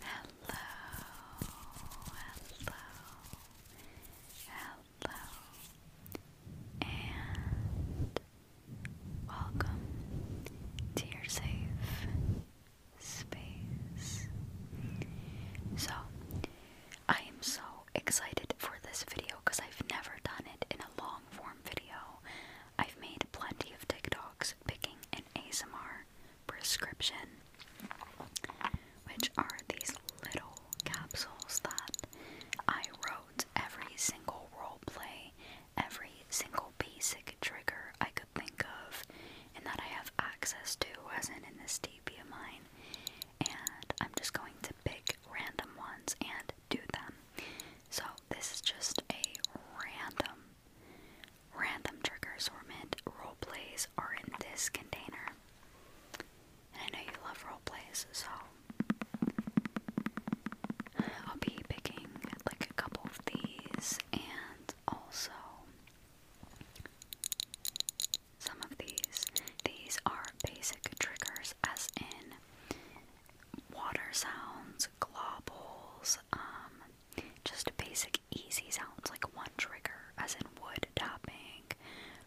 Hello, hello, hello, and welcome to your safe space. So, I am so excited for this video because I've never done it in a long form video. I've made plenty of TikToks picking an ASMR prescription, which are these little capsules that I wrote every single roleplay, every single basic trigger I could think of, and that I have access to, as in in this DP of mine. And I'm just going to pick random ones and do them. So, this is just a random Random triggers were meant role plays are in this container. And I know you love role plays, so I'll be picking like a couple of these and also some of these. These are basic triggers as in water sounds, globules, um, just basic easy sounds like one trigger, as in wood tapping,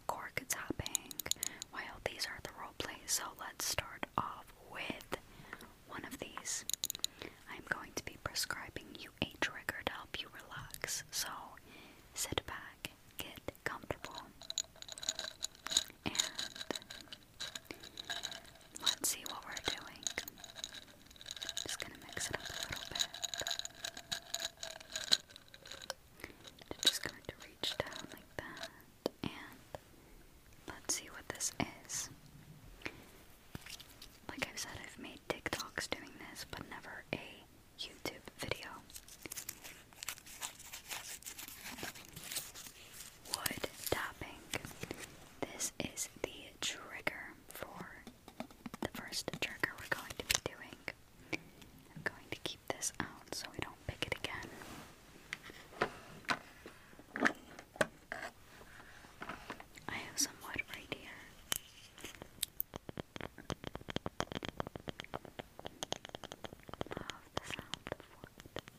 cork tapping. While these are the role plays, so let's start off with one of these. I'm going to be prescribing you a trigger to help you relax, so sit back, get comfortable, and Let's see what we're doing. Just gonna mix it up a little bit. just going to reach down like that, and let's see what this is. Like i said, I've made TikToks doing this, but never a YouTube video wood tapping. This is the trigger for the first trigger we're going to be doing. I'm going to keep this out so we don't pick it again. I have some wood right here. Love the sound of wood.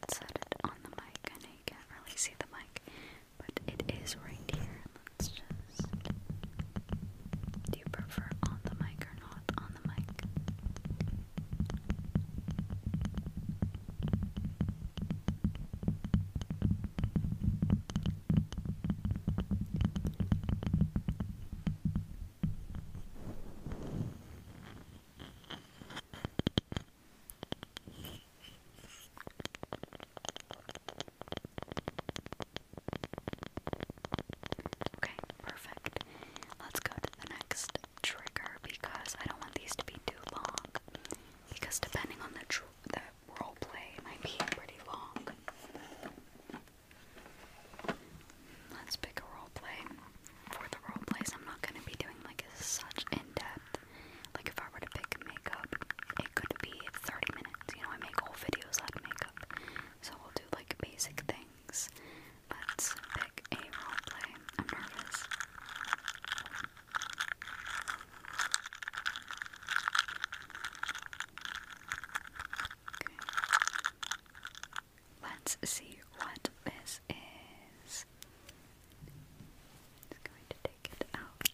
Let's set it on the mic. I you can't really see the mic, but it is right here. Do you prefer on the mic or not on the mic? Okay, perfect. Let's go to the next trigger because I don't want these to be too long because depending on the the role play, it might be pretty long. Let's pick a role play. For the role plays, I'm not gonna be doing like such in depth. Like if I were to pick makeup, it could be 30 minutes. You know, I make whole videos out makeup, so we'll do like basic things. Let's pick a role play. I'm nervous. Let's see what this is. Just going to take it out.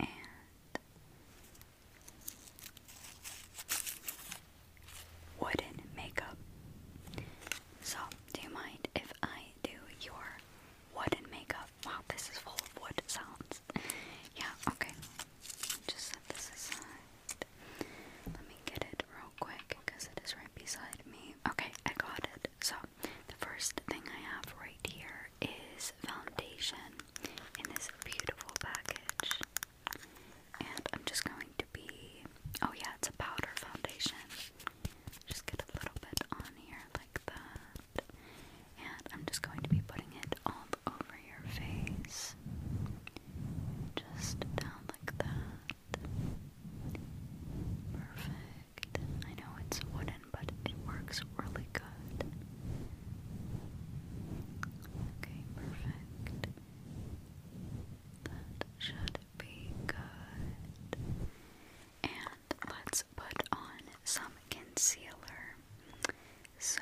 And wooden makeup. So, do you mind if I do your wooden makeup. Wow, this is full of wood sounds. Yeah, okay. Just Let me get it real quick because it is right beside me. Okay, I got it. So, the first thing I have right here is foundation in this beautiful package. And I'm just going to be. Oh, yeah, it's a powder foundation. Just get a little bit on here like that. And I'm just going to be putting it all over your face. Just down like that. Perfect. I know it's wooden, but it works really good. Okay, perfect. That should be good. And let's put on some concealer. So,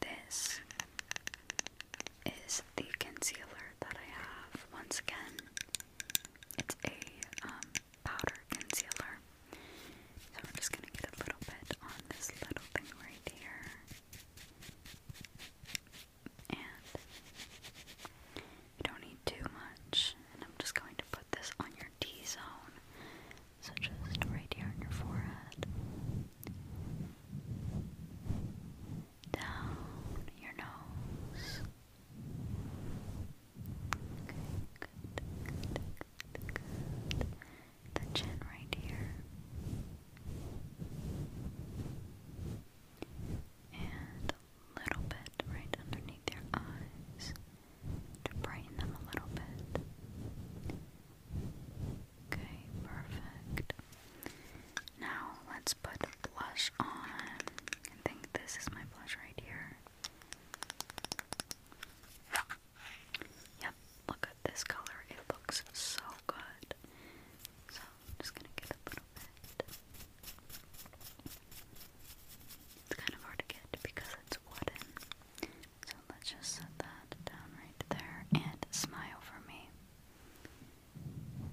this is the concealer that I have. Once again, it's a um, powder concealer. So, I'm just going to get a little bit on this little thing right here. And you don't need too much. And I'm just going to put this on your T zone. So just right here on your forehead. Down your nose. Okay, good, good, good, good. The chin right here. And little bit right underneath your eyes to brighten them a little bit. Okay, perfect. Now let's put blush on. I think this is my blush right here. Yep, look at this color. It looks so good just gonna get a little bit. It's kind of hard to get because it's wooden. So let's just set that down right there and smile for me.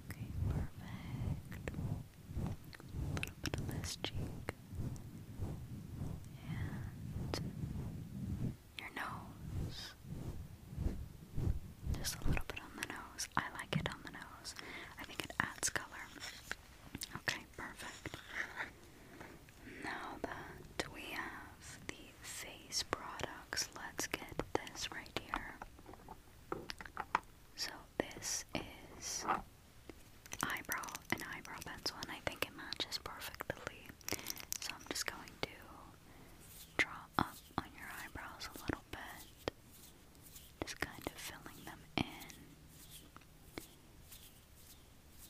Okay, perfect. A little bit of this cheek. And your nose. Just a little bit on the nose. I like it on the nose. I think it adds color. Okay, perfect. Now that we have the face products, let's get this right here. So this is eyebrow, an eyebrow pencil, I think it matches perfectly. So I'm just going to draw up on your eyebrows a little bit just kind of filling them in.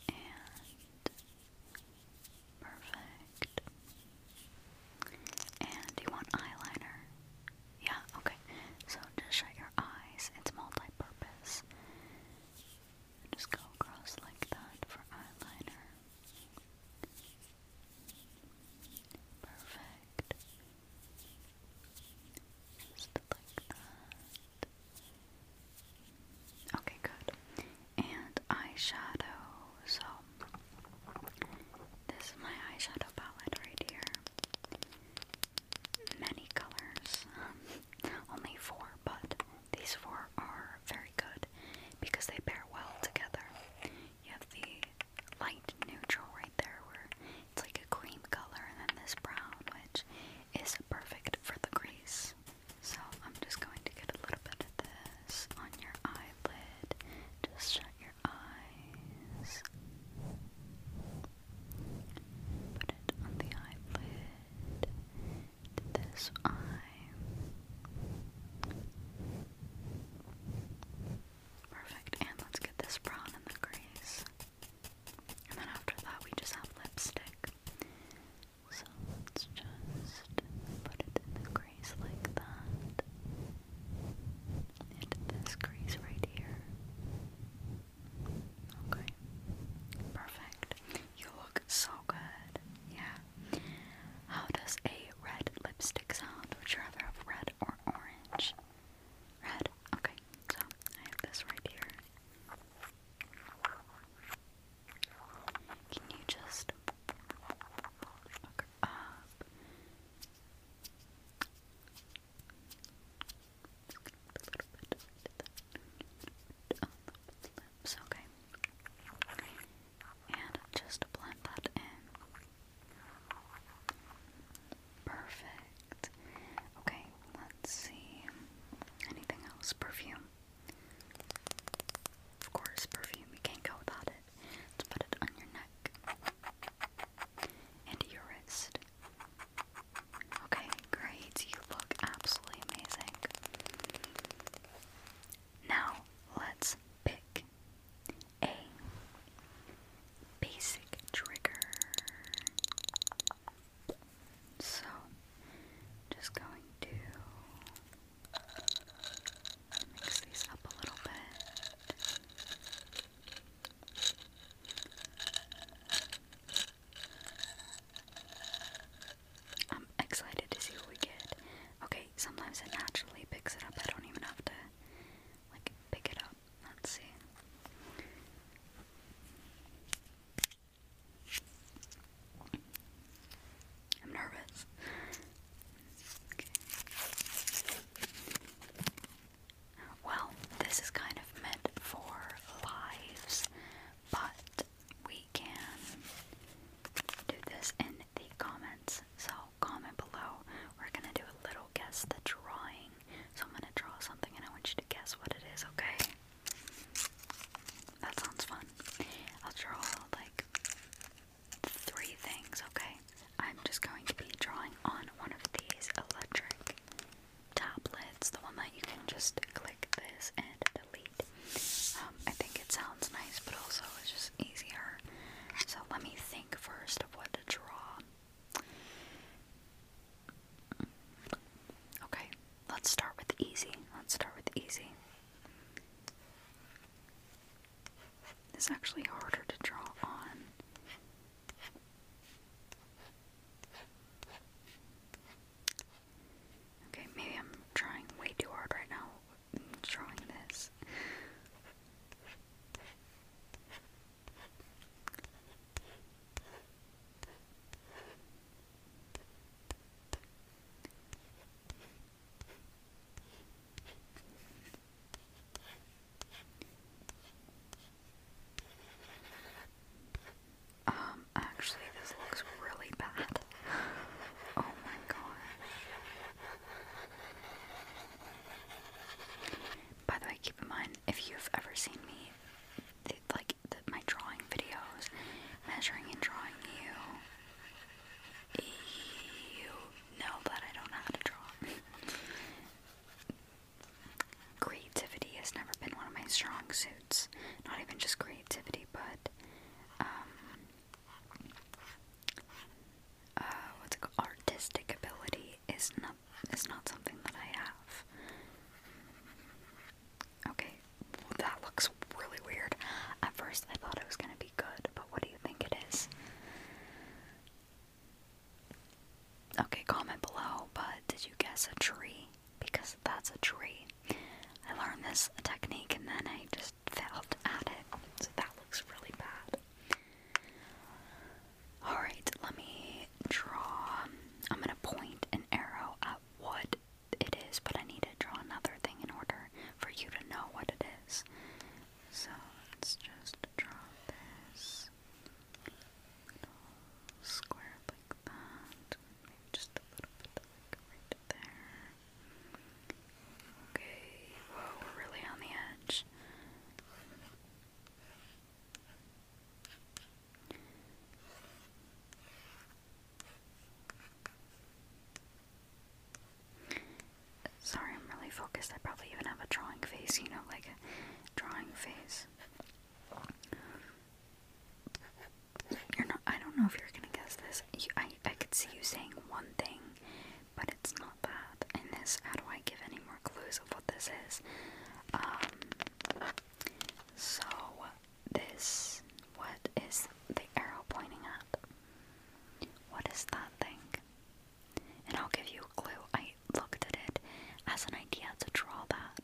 And perfect. And you want eyeliner? Yeah, okay. So just shut your eyes. It's multi purpose. Just go across like that for eyeliner. Perfect. Just Okay, good. And eyeshadow. So, this is my eyeshadow palette right here. Many colors. only four, but these four are very good because they pair well together. You have the light neutral right there where it's like a cream color and then this brown which is perfect for the crease. So I'm just going to get a little bit of this on your eyelid. Just shut your eyes. Put it on the eyelid. This eye. Perfect. And let's get this brown in the crease. And then after that, we just have lipstick. So let's just put it in the crease like that. Into this crease right here. Okay. Perfect. You look so good. Yeah. How does a red lipstick sound? Would you rather have red or orange? Red. Okay, so I have this right here. Can you just look up? Lips, okay. And just blend that in. Perfect. Okay, let's see. Anything else? Perfume. Of course, perfume. You can't go without it. Let's put it on your neck and your wrist. Okay, great. You look absolutely amazing. Now, let's pick a basic trigger. So, just going to mix these up a little bit. I'm excited to see what we get. Okay, sometimes it naturally picks it up. I don't even have to like pick it up. Let's see. I'm nervous. Well, this is kind of meant for lives, but we can do this in the comments. So comment below. We're gonna do a little guess the drawing. So I'm gonna draw something and I want you to guess what it is, okay? That sounds fun. I'll draw like three things, okay? I'm just going to be drawing on one of these electric tablets, the one that you can just click this and delete. Um, I think it sounds nice, but also it's just easier. So let me think first of what to draw. Okay, let's start with easy. Let's start with easy. It's actually harder to draw on. Okay, maybe I'm trying way too hard right now. I'm drawing this. Um, actually, this looks really bad. Oh my god. By the way, keep in mind if you've ever seen me, the, like my drawing videos, measuring and drawing you, you know that I don't know how to draw. creativity has never been one of my strong suits. Not even just creativity, but um, uh, Artistic ability is not is not something that I have. Okay, that looks really weird. At first, I thought it was gonna be good, but what do you think it is? Okay, comment below. But did you guess a tree? Because that's a tree. I learned this technique and then I just failed at it. So that looks really bad. Alright, let me draw. I'm gonna point an arrow at what it is, but I need to draw another thing in order for you to know what it is. So let's just draw this square like that. just a little bit like right there. Okay, whoa, we're really on the edge. Sorry, I'm really focused. I probably even have a drawing face, you know, like a drawing face. You're not. I don't know if you're gonna guess this. I I could see you saying one thing but it's not that. And this, how do I give any more clues of what this is? Um, so this, what is the arrow pointing at? What is that thing? And I'll give you a clue. I looked at it as an idea to draw that.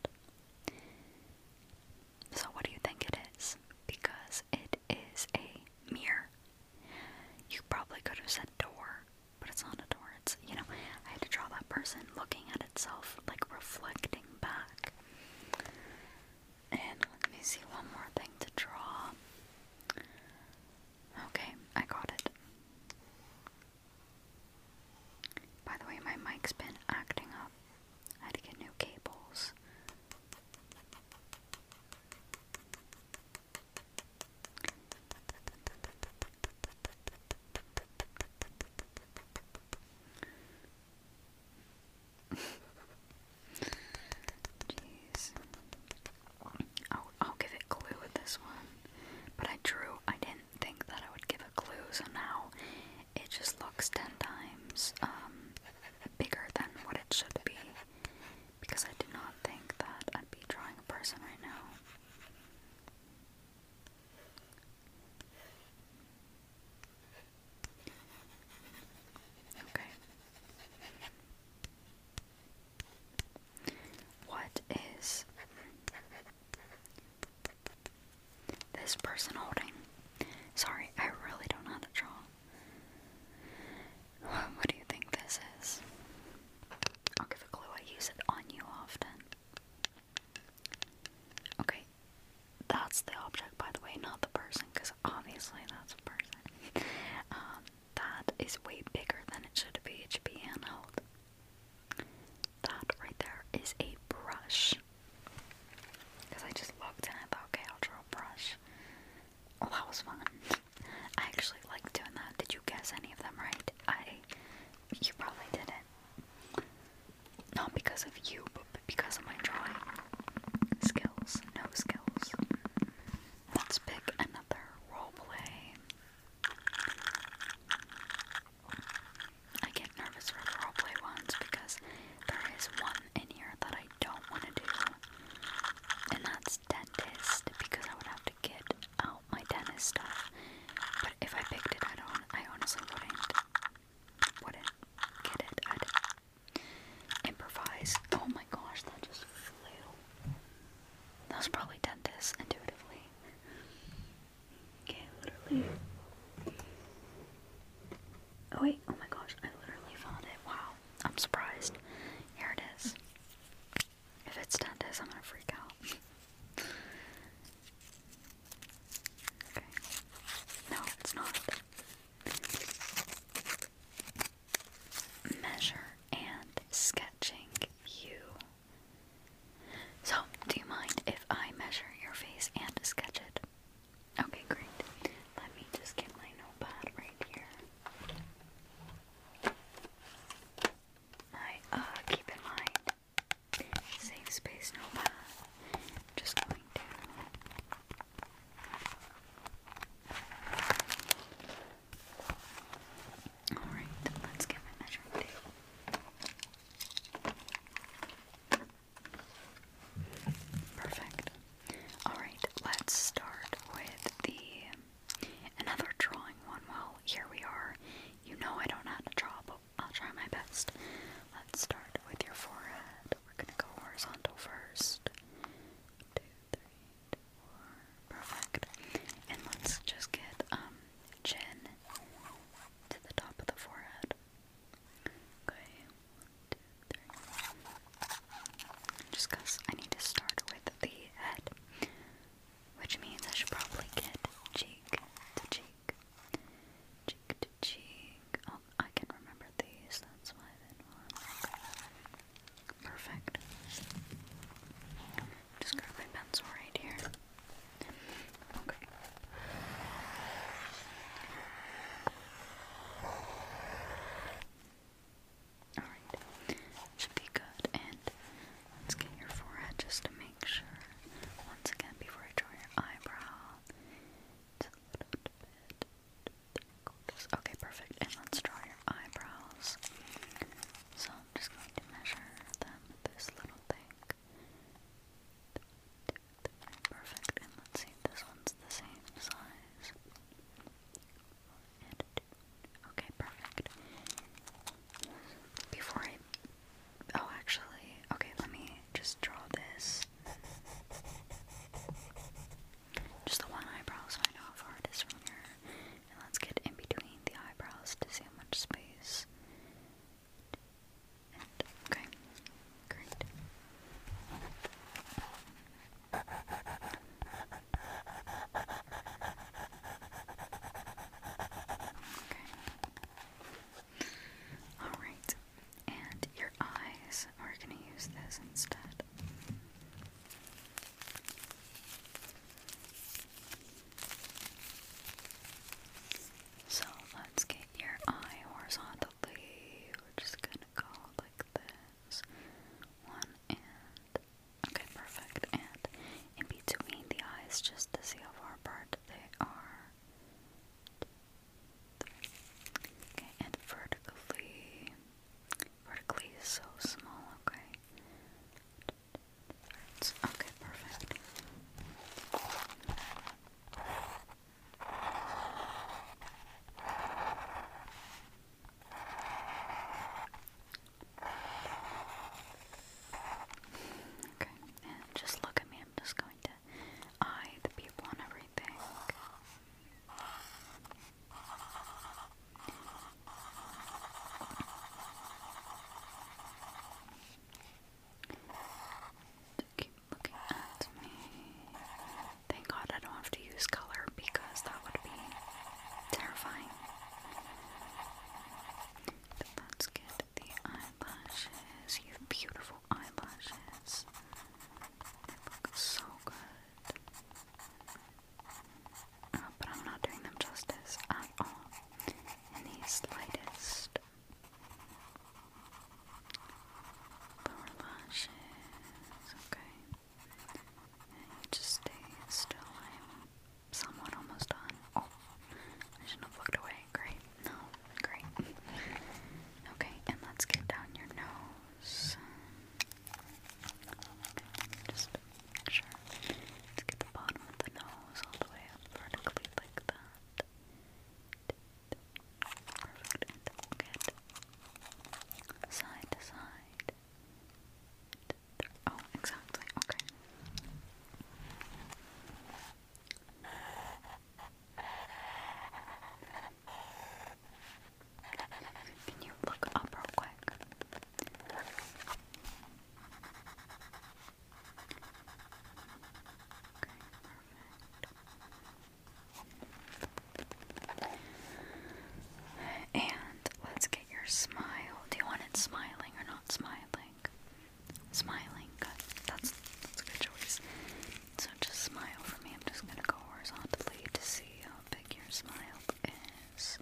So, what do you think it is? Because it is a mirror. You probably could have said door, but it's not a door. It's, you know, I had to draw that person looking at itself, like reflecting back. And let me see one more thing to draw. Okay, I got it. By the way, my mic's been acting up. I had to get new cables. Jeez. Oh, I'll give it glue with this one. But I drew, I didn't think that I would give a clue. so now it just looks ten times um, bigger than what it should be because I do not think that I'd be drawing a person right now. Okay. What is this person holding? Sorry, I really don't know how to draw. What do you think this is? I'll give a clue. I use it on you often. Okay, that's the object, by the way, not the person, because obviously that's a person. Um, that is way bigger than it should be. It be handheld. That right there is a brush. Because I just looked and I thought, okay, brush. Well, that was fun. I actually like doing that. Did you guess any of them right? I. You probably didn't. Not because of you, but because of my drawing skills. No skills. Let's pick another role play. I get nervous for role play ones because there is one in here that I don't want to do, and that's dentist because I would have to get out my tennis stuff. But if I picked it, I don't. I honestly wouldn't. get it. I'd improvise. Oh my gosh, that just flew. That was probably dentist intuitively. Okay, literally. Oh wait, oh my gosh, I literally found it. Wow, I'm surprised. Here it is. If it's 10 days, I'm gonna freak out. okay. No, it's not. Measure and sketching you. So, do you mind if I measure your face and sketch it? Okay, great. Let me just get my notepad right here. I uh keep in mind safe space no path. Just going to Alright, let's get my measuring tape. Perfect. Alright, let's start with the Another drawing Well, here we are. You know I don't know how to draw, but I'll try my best. Let's start with your forehead. We're gonna go horizontal first. Two, three, two, four. Perfect. And let's just get um chin to the top of the forehead. Okay, one, two, three. Just I need to start with the head, which means I should probably get cheek to cheek. Cheek to cheek. Oh, I can remember these, that's why Perfect. Just grab my pencil right here. Okay. Alright, should be good. And let's get your forehead just to make sure. Once again, before I draw your eyebrow, Okay, perfect. And let's draw your eyebrows. So I'm just going to measure them with this little thing. Perfect. And let's see if this one's the same size. Okay, perfect. Before I. Oh, actually. Okay, let me just draw this. Just the one eyebrow so I know how far it is from here. And let's get in between the eyebrows to see how much space. okay, great. Alright. And your eyes, are going to use this instead. So let's get your eye horizontally. We're just going to go like this. One and that. Okay, perfect. And in between the eyes, just to see how far apart they are. Okay, and vertically. Vertically is so small, okay. perfect. Okay, Okay, just look at me. I'm just going to eye the people and everything. To keep looking at me. Thank God I don't have to use color because that would be terrifying. let's get the eyelashes. You have beautiful eyelashes. They look so good. Uh, but I'm not doing them justice at all in the slightest. Lower lashes, okay just stay still. I'm somewhat almost done. Oh, I should have looked away. Great. No, great. Okay, and let's get down your nose. just make sure. Let's get the bottom of the nose all the way up vertically like that. Perfect. And side to side. Oh, exactly. Okay. Can you look up real quick? Okay, perfect. And let's get your smile. Do you want it smiling or not smiling? Smiling, good. That's that's a good choice. So just smile for me. I'm just gonna go horizontally to see how big your smile is.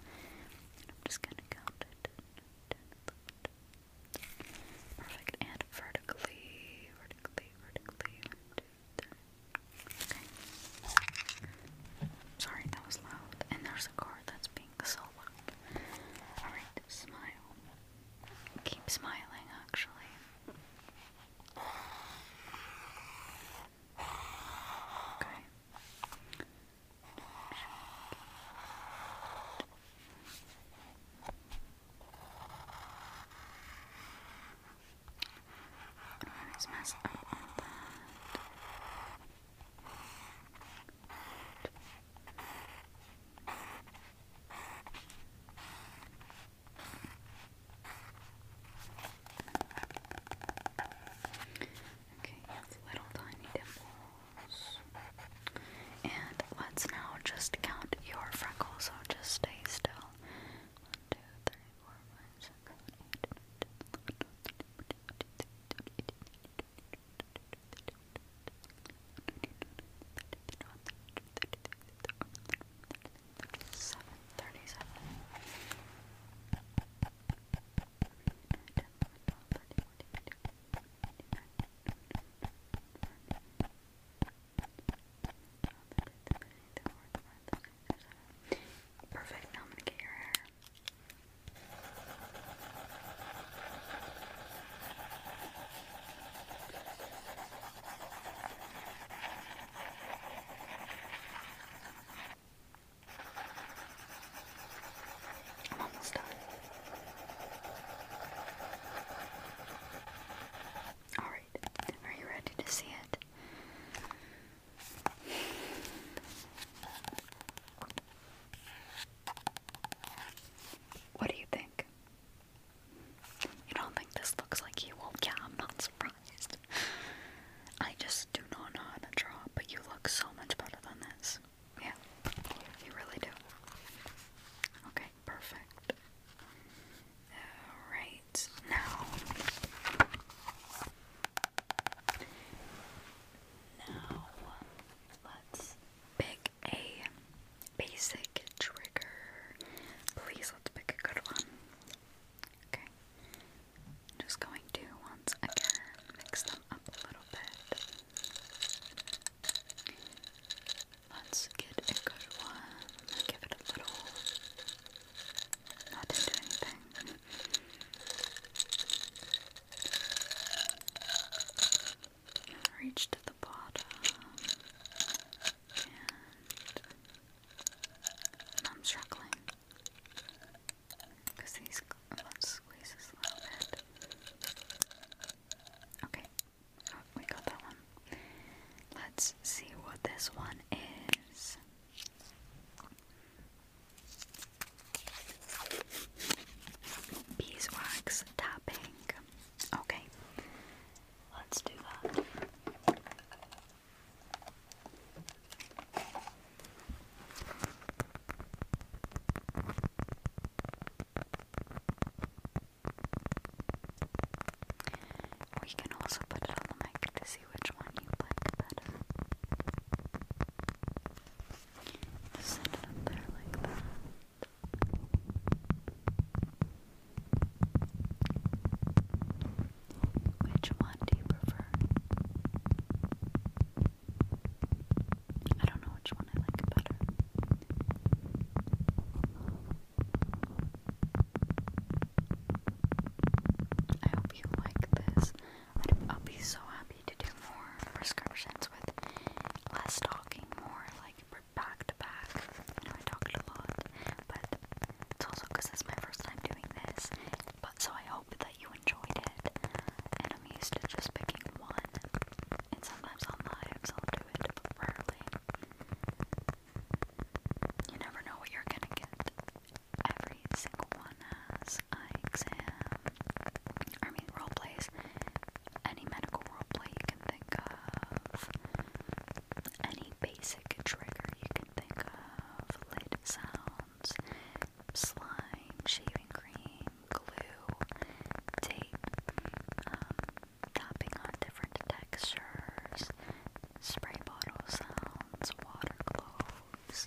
And I'm just gonna count it. Perfect. And vertically, vertically, vertically. One, two, three. Sorry, that was loud. And there's a car that's being so Alright, smile. Keep smiling, actually. Okay. One is messed up on that. Okay, it's little tiny dimples. And let's now just count your freckles, so just stay still. One, two, three, hormones are created. Seven thirty-seven. Perfect, I'm I'm almost done. Alright, are you ready to see it? What do you think? You don't think this looks like you? yeah, I'm not surprised. I just do not know how to draw, but you look so much better than this. Yeah, you really do. Okay, perfect. Alright now. Now let's pick a basic trigger. Please let's pick a good one. Okay. just going to once again mix them up a little bit. Let's get a good one. Give it a little. Not into anything. Reach to the bottom, and I'm struggling because these. Let's squeeze a little bit. Okay, oh, we got that one. Let's see what this one is. Beeswax topping. Okay, let's do that. We can also put it on the mic which one you like better. Just it up there like that. Which one do you prefer? I don't know which one I like better. I hope you like this. I'll be so happy to do more prescriptions with less talking, more like back to back. I know I talked a lot, but it's also because it's my first time doing this. But so I hope that you enjoyed it. And I'm used to just picking one, and sometimes on lives I'll do it, but You never know what you're gonna get every single one has eye exam. I mean, role plays. Any medical role play you can think of. Any basic trigger you can think of. Lid sounds, slime, shaving cream, glue, tape, um, tapping on different textures, spray bottle sounds, water close.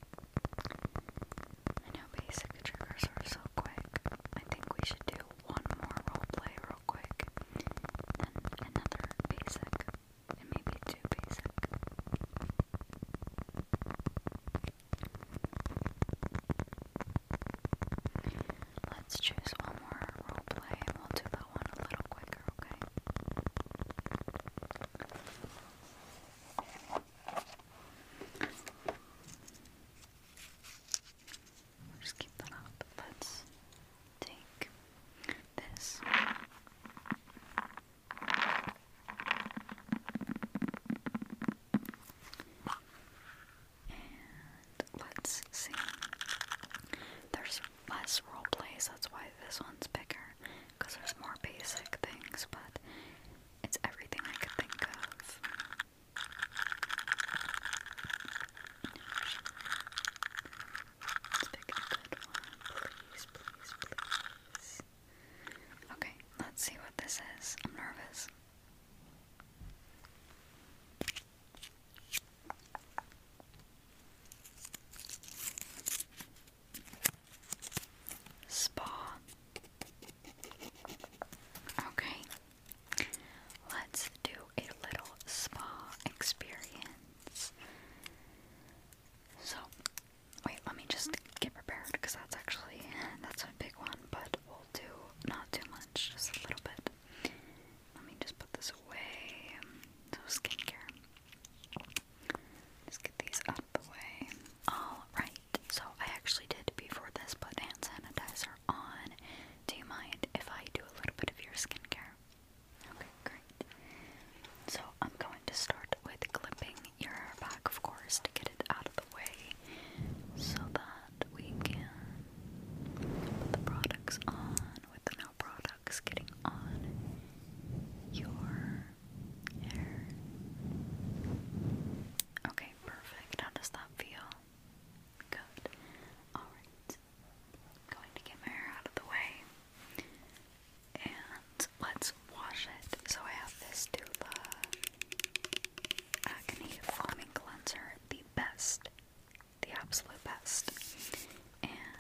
I know basic triggers are so quick. I think we should do one more roleplay real quick, then another basic, maybe two basic. Let's choose one more role play. we'll do that one a little quicker, okay? just keep that up. Let's take this. And let's see. There's less role plays, that's why this one's bigger because there's more basic things, but it's everything I could think of. Let's pick a good one. Please, please, please. Okay, let's see what this is. I'm nervous. Spa. Okay. Let's do a little spa experience. So, wait, let me just get prepared because that's actually that's a big one, but we'll do not too much, just a little bit. Let me just put this away. So skincare. Just get these out of the way. Alright, so I actually did before this put hand sanitizer on. Do you mind if I do a little bit of your skincare? Okay, great. So I'm going to start with clipping your hair back, of course, to get it out of the way so that we can put the products on with no products getting on your Okay, perfect. How does that feel? Good. Alright. Going to get my hair out of the way. And let's wash it. So I have this Dula Acne Foaming Cleanser, the best, the absolute best. And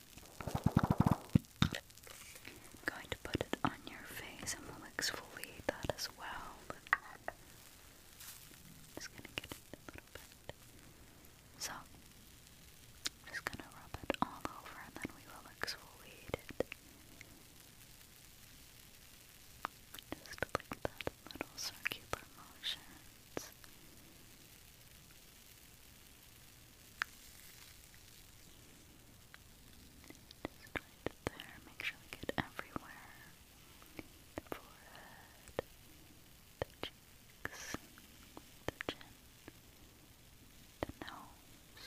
I'm going to put it on your face and we'll exfoliate that as well. just going to get it a little bit. So, just going to rub it all over and then we will exfoliate it. Just like that little circular motions. Just right there, make sure we get everywhere. The forehead, the cheeks, the chin, the nose.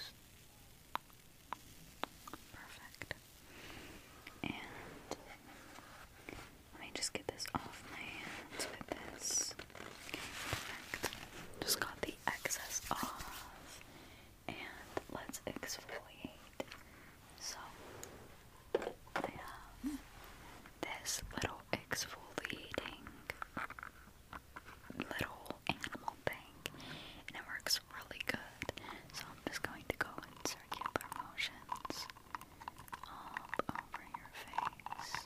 Perfect. And let me just get this off my hands with this. Just got the excess off. And let's exfoliate. So, I have this little exfoliating little animal thing, and it works really good. So, I'm just going to go in circular motions all over your face.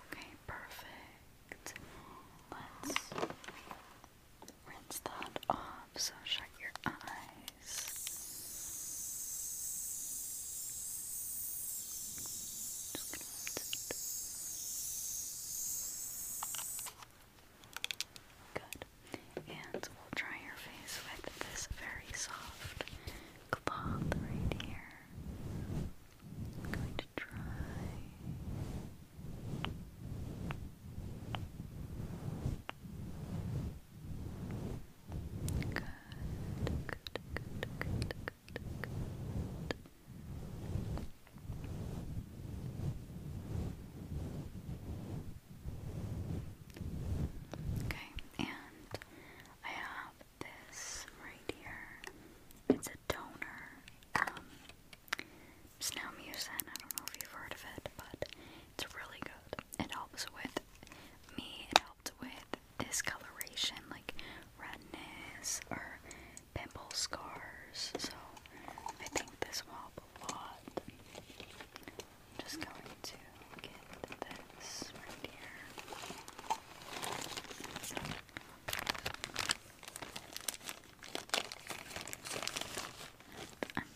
Okay, perfect. Let's rinse that off. So shut your eyes. Good. And we'll dry your face with this very soft cloth right here. going to dry. Good, good, good, good, good, good. Okay, and I have this right here. It's a toner. Um, I don't know if you've heard of it, but it's really good. It helps with me. It helped with discoloration, like redness or pimple scars. So I think this will I'm just going to get this right here. I'm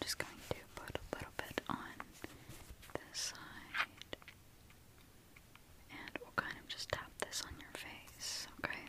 just going to put a little bit on this side. And we'll kind of just tap this on your face, okay?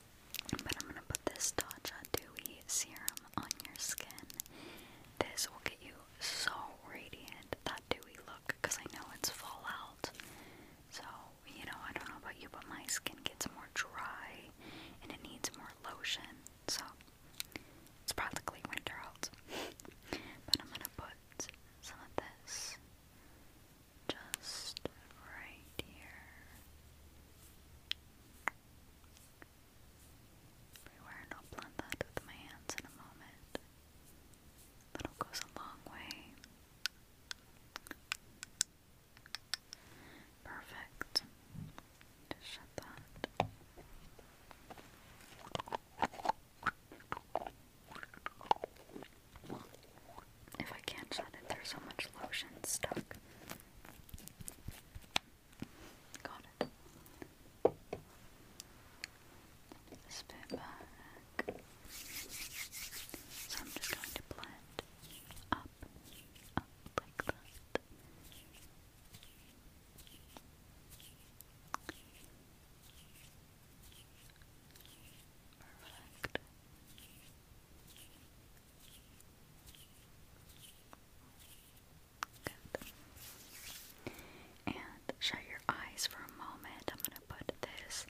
But I'm gonna put this Tatcha Dewy Serum on your skin. This will get you so radiant, that dewy look, because I know it's fall out, So, you know, I don't know about you, but my skin gets more dry and it needs more lotion. So, it's practically winter out. but I'm gonna put some of this just right here everywhere, and I'll blend that with my hands in a moment. Little goes a long way. Perfect. Just shut that. If I can't shut it, there's so much lotion stuck. Got it. This back. So I'm just going to blend up, up like that. Perfect. And shut your eyes for a moment. I'm going to put this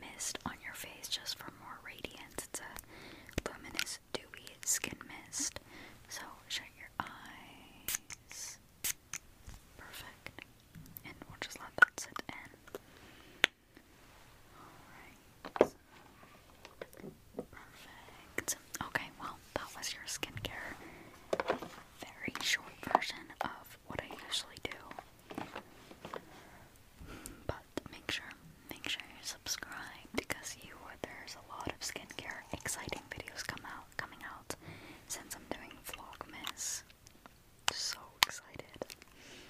mist on your face just for more radiance. It's a luminous, dewy skin mist. So shut your eyes. Perfect. And we'll just let that sit in. Okay, well, that was your skincare. Very short version of what I usually do. But make sure make sure you subscribe because you there's a lot of skincare exciting videos come out coming out since I'm doing Vlogmas. So excited.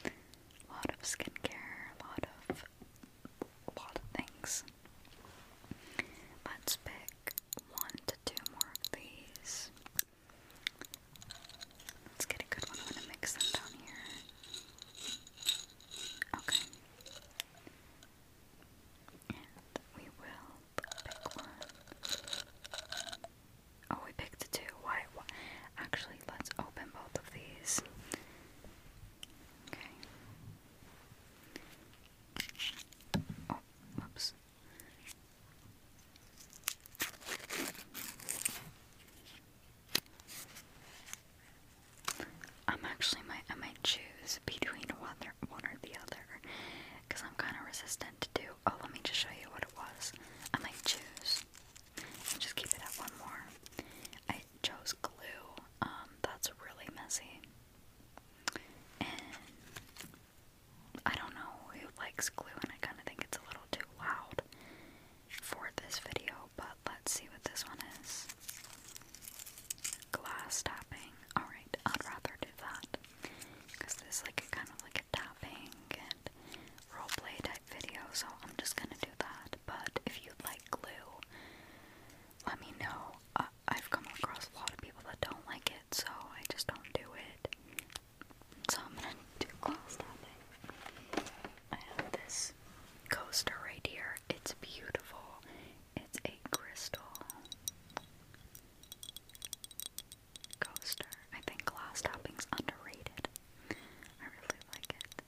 A lot of skincare, a lot of a lot of things. Let's pick one to two more of these. Let's get a good one. I'm gonna mix them down here. Okay. And we will pick one. Oh, we picked two. Why? Actually, let's open both of these. Okay. Oh, I'm actually my I might choose between one or, the other because I'm kind of resistant to do. Oh, let me just show you what it was. I might choose. i just keep it at one more. I chose glue. Um, that's really messy. And I don't know who likes glue, and I kind of think it's a little too loud for this video, but let's see what this one is. Glass tapping. Alright, I'd rather do that. Because this is like kind of like a tapping and roleplay type video, so I'm just gonna do that. But if you like glue, let me know. I've come across a lot of people that don't like it, so I just don't do it. So I'm gonna do glass topping. I have this coaster right here. It's beautiful. It's a crystal coaster. I think glass tapping's underrated. I really like it.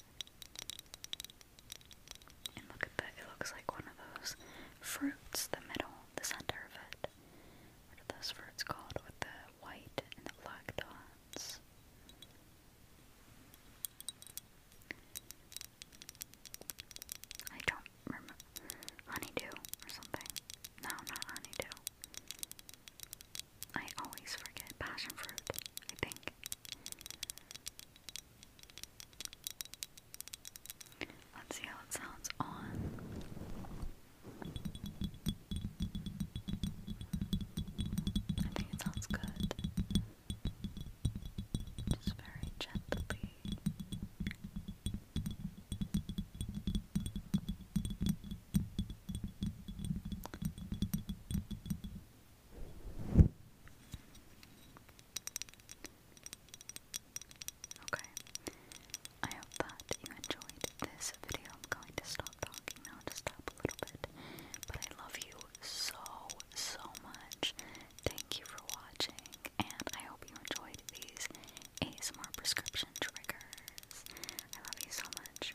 And look at that, it looks like one of those fruits, the middle, the center of it. What are those fruits called with the white and the black dots? I don't remember. Honeydew or something. No, not honeydew. I always forget passion fruit, I think. Let's see how it sounds on. I think it sounds good. Just very gently. Okay. I hope that you enjoyed this video. I'm going to stop talking now to stop a little bit. But I love you so, so much. Thank you for watching, and I hope you enjoyed these ASMR prescription triggers. I love you so much.